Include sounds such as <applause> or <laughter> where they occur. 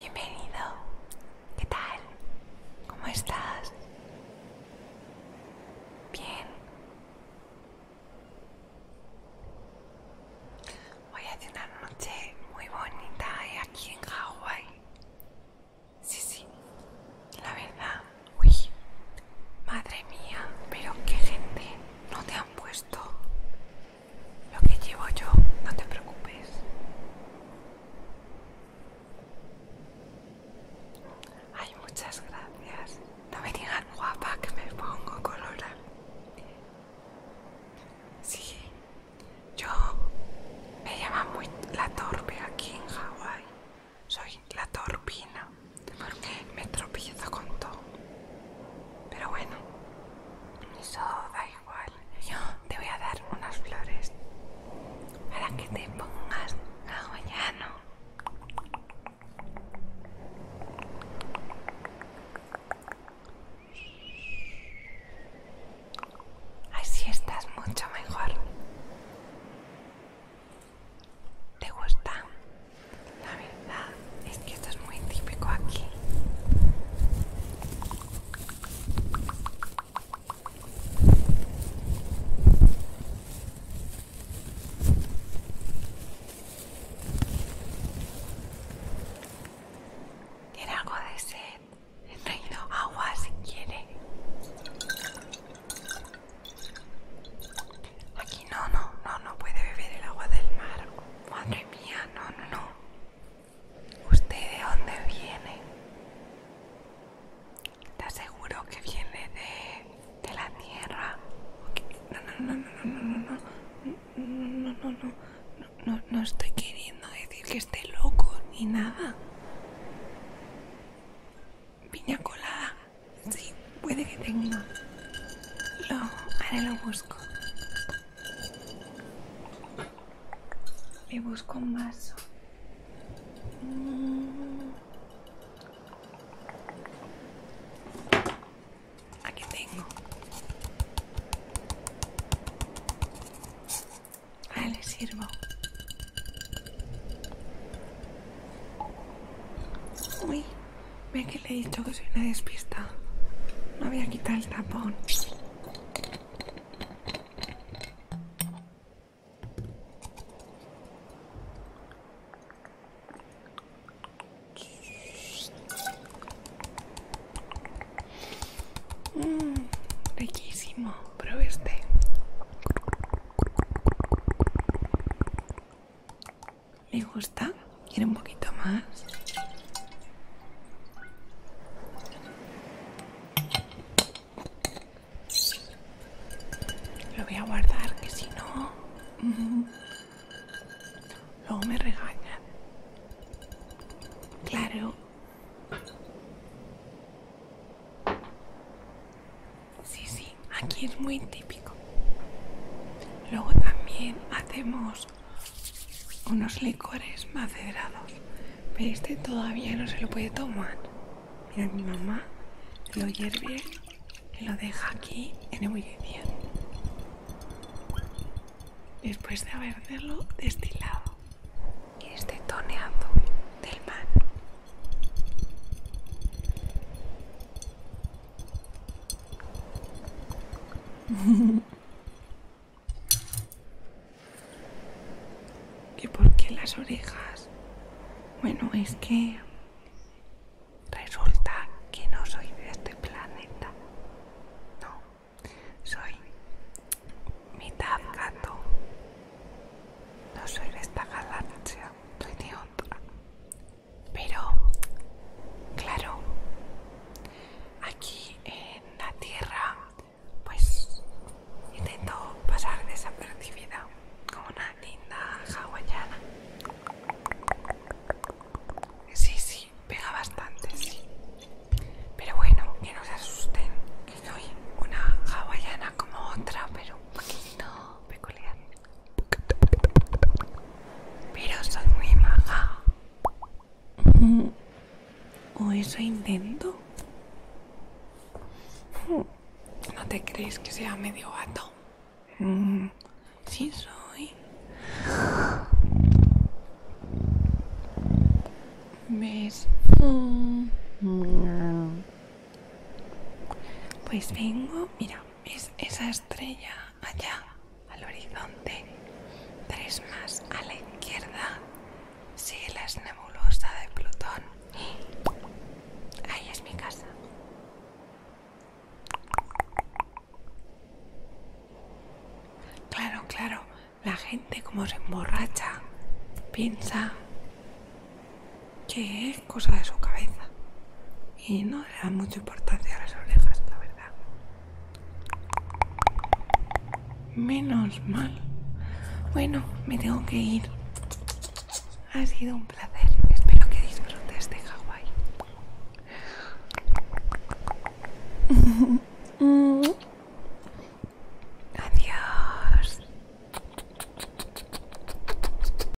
Bienvenido. ¿Qué tal? ¿Cómo estás? Bien. Voy a tener una noche muy bonita aquí en Hawái. Sí, sí. La verdad, uy. Madre mía, pero qué gente no te han puesto lo que llevo yo, no te preocupes. Ay, muchas gracias. No me digan guapa que me pongo color. Sí, yo me llamo muy la torpe aquí en Hawái. Soy la torpina porque me tropiezo con todo. Pero bueno, eso igual. Yo te voy a dar unas flores para que te pongas hawaiano. Así estás mucho mejor. ¿Te gusta? La verdad esto es muy típico aquí. Tiene algo de sed. He traído agua si quiere. Aquí no, no, no, no puede beber el agua del mar. Madre mía, no, no, no. ¿Usted de dónde viene? Te aseguro que viene de, la tierra. No, no, no, no, no, no, no, no, no, no, estoy queriendo decir que esté loco ni nada. Piña colada, sí, puede que tenga. Lo, ahora lo busco. Me busco un vaso. Mm. Aquí tengo. Ah, le sirvo. Ve que le he dicho que soy una despista. No voy a quitar el tapón. Mmm, riquísimo. Pruebe ¿Me gusta? ¿Quiere un poquito más? Lo voy a guardar, que si no, luego me regañan. Claro. Sí, sí, aquí es muy típico. Luego también hacemos unos licores macerados. Pero este todavía no se lo puede tomar. Mira, mi mamá lo hierve y lo deja aquí en el ebullición. Después de haberlo destilado. Y este toneado del mar. ¿Y por qué las orejas? Bueno, es que resulta que no soy de este planeta. No, soy mitad gato. No soy de esta galaxia, soy de otra. Pero, claro, aquí en la tierra, pues intento pasar desapercibida como una linda hawaiana. Sí, sí, pega bastante, sí. Pero bueno, que no se asusten, que soy una hawaiana como otra, pero un poquito peculiar. Pero soy muy maja. <laughs> O eso intento. <laughs> ¿No te crees que sea medio gato? <laughs> Sí soy. ¿Ves? Pues vengo, mira. ¿Ves esa estrella allá al horizonte? Tres más a la izquierda. Sigue es nebulosa de Plutón. Ahí es mi casa. Claro, claro, la gente como se emborracha, piensa que es cosa de su cabeza y no le da mucha importancia a las orejas, la verdad. Menos mal. Bueno, me tengo que ir. Ha sido un placer. Espero que disfrutes de Hawái. <laughs> Adiós.